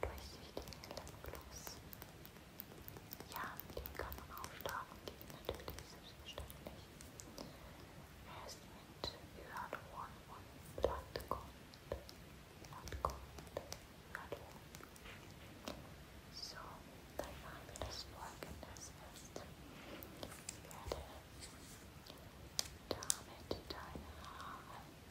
durchsichtigen Lipgloss. Ja, mit dem kann man auftragen gehen, natürlich, selbstverständlich. Er ist mit Hyaluron und Blattgrund. Blattgrund, Hyaluron. So, dann machen wir das folgende erst. Ich werde damit deine Haare nehmen.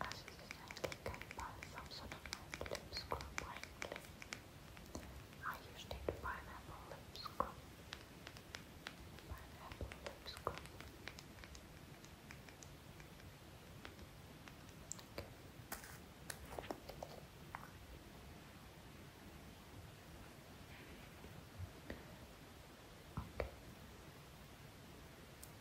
Ashes generally carried by some sort of I used it pineapple lip scrub. Pineapple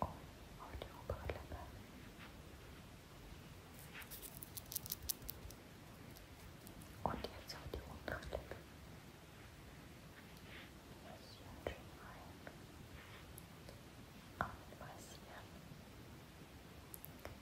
Oh, auf die obere Lippe. Und jetzt auf die untere Lippe. Massieren schön rein. Und massieren.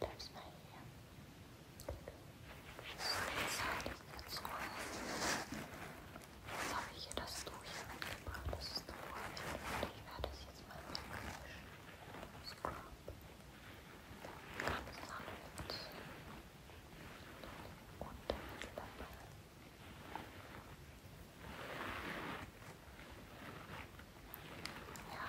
Bleibst mal hier. So, jetzt Jetzt habe ich hier das Tuch hier mitgebracht. Das ist eine Vorrichtung. Und ich werde es jetzt mal wegwischen. Scrub. Ganz sanft. Und der Mittellippe. Ja,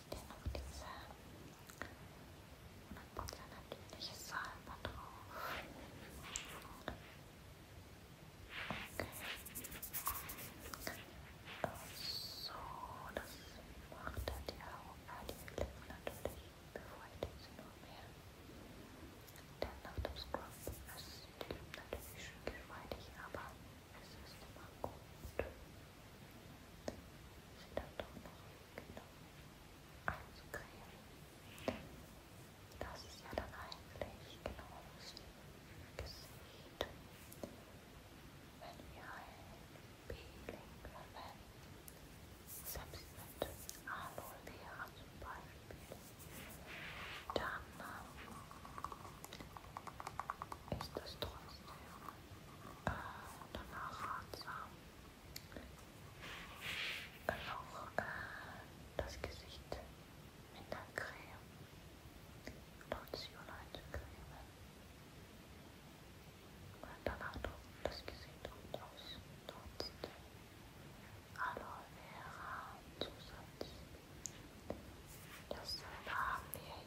hier noch diese natürliche Salbe drauf. Okay. So, das macht dann die Augen, die Lippen natürlich, bevor ich sie noch mehr. Denn nach dem Scrub ist die Lippen natürlich schön geschmeidig, aber es ist immer gut wieder doch noch genau einzucremen. Das ist ja dann eigentlich genau wie Gesicht. Wenn wir ein Peeling verwenden, selbst mit Aloe Vera zum Beispiel, dann ist das trotzdem äh, danach ratsam dann auch äh, das Gesicht mit der Creme, Lotion einzucremen und danach das Gesicht und ausnutzt. Aloe Vera Zusatz. Das haben wir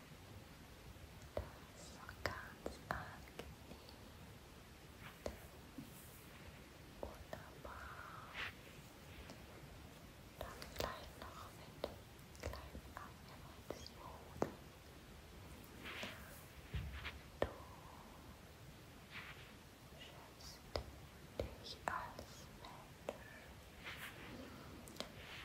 Das ist auch ganz angenehm. Wunderbar. Dann gleich noch mit kleinen Abwehrweites Mode. Du schätzt dich als Mensch.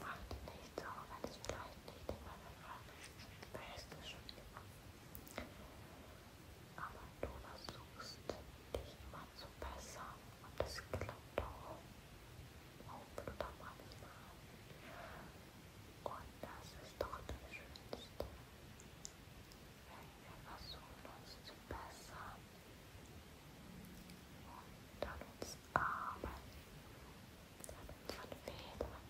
Macht nichts, auch wenn es vielleicht nicht in meiner Farbe ist. Da ist es schon immer. Aber du versuchst dich immer zu bessern und das klappt auch. Auch oder manchmal. Und das ist doch das Schönste. Wenn wir versuchen, uns zu bessern und an uns arbeiten, damit von Fehlern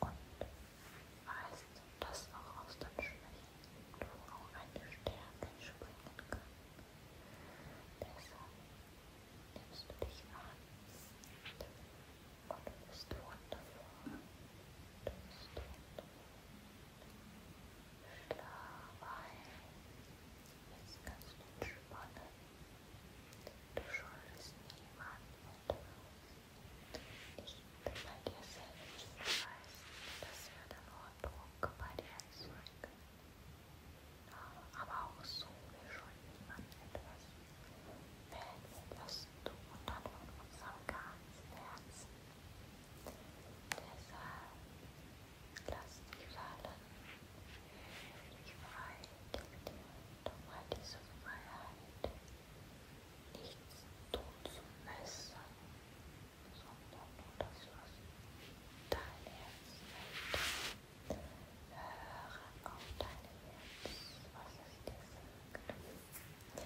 und weißt, dass auch aus den Schwächen nur eine Stärke springen kann. Deshalb nimmst du dich an und du bist wundervoll. Du bist wundervoll. Schlaf ein. Jetzt kannst du entspannen. Du schuldest niemandem etwas. İşte belgesel üniversitesinde sıradan orta okula yazmak. Aber auch so will schon etwas wählen, du und dann von unserem ganzen Deshalb lass die Wahlen frei, gib dir doch mal diese Freiheit. nichts tun zu müssen, sondern nur das, was dein Herz möchte. Hören auf dein Herz, was es dir sagt.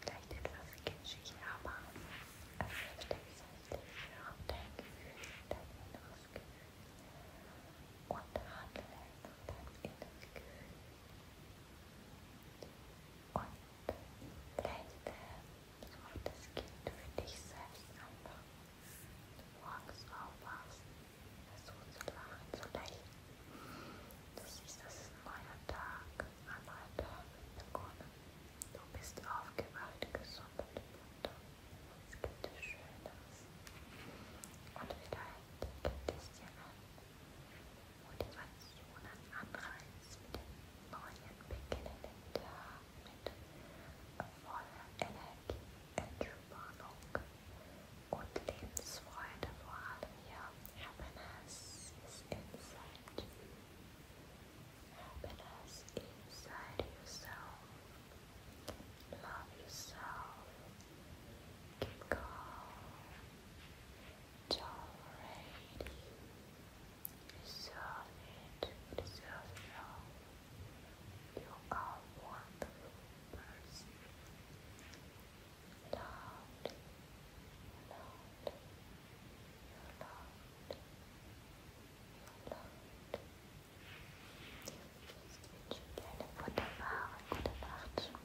Vielleicht etwas kitschig, aber es hilft dir selbst, höre auf dein Gefühl, dein inneres Gefühl und handle nach deinem inneren Gefühl. Und vielleicht, äh, so oft es geht, für dich selbst einfach morgens aufwachst, versuch zu lachen, zu lächeln. Du siehst, das ist ein neuer Tag, ein neuer Tag begonnen. Du bist aufgewacht, gesund und munter. Es gibt Schönes. Und vielleicht gibt es dir ein Motivationen, Anreiz, neuen beginnenden voller Energie, Entspannung und Lebensfreude vor allem, ja, Happiness is inside you. Happiness inside yourself. Love yourself. Keep calm, tolerating, reserve it, reserve You are wonderful person. Loved, loved, you're loved, you're loved. Jetzt wünsche ich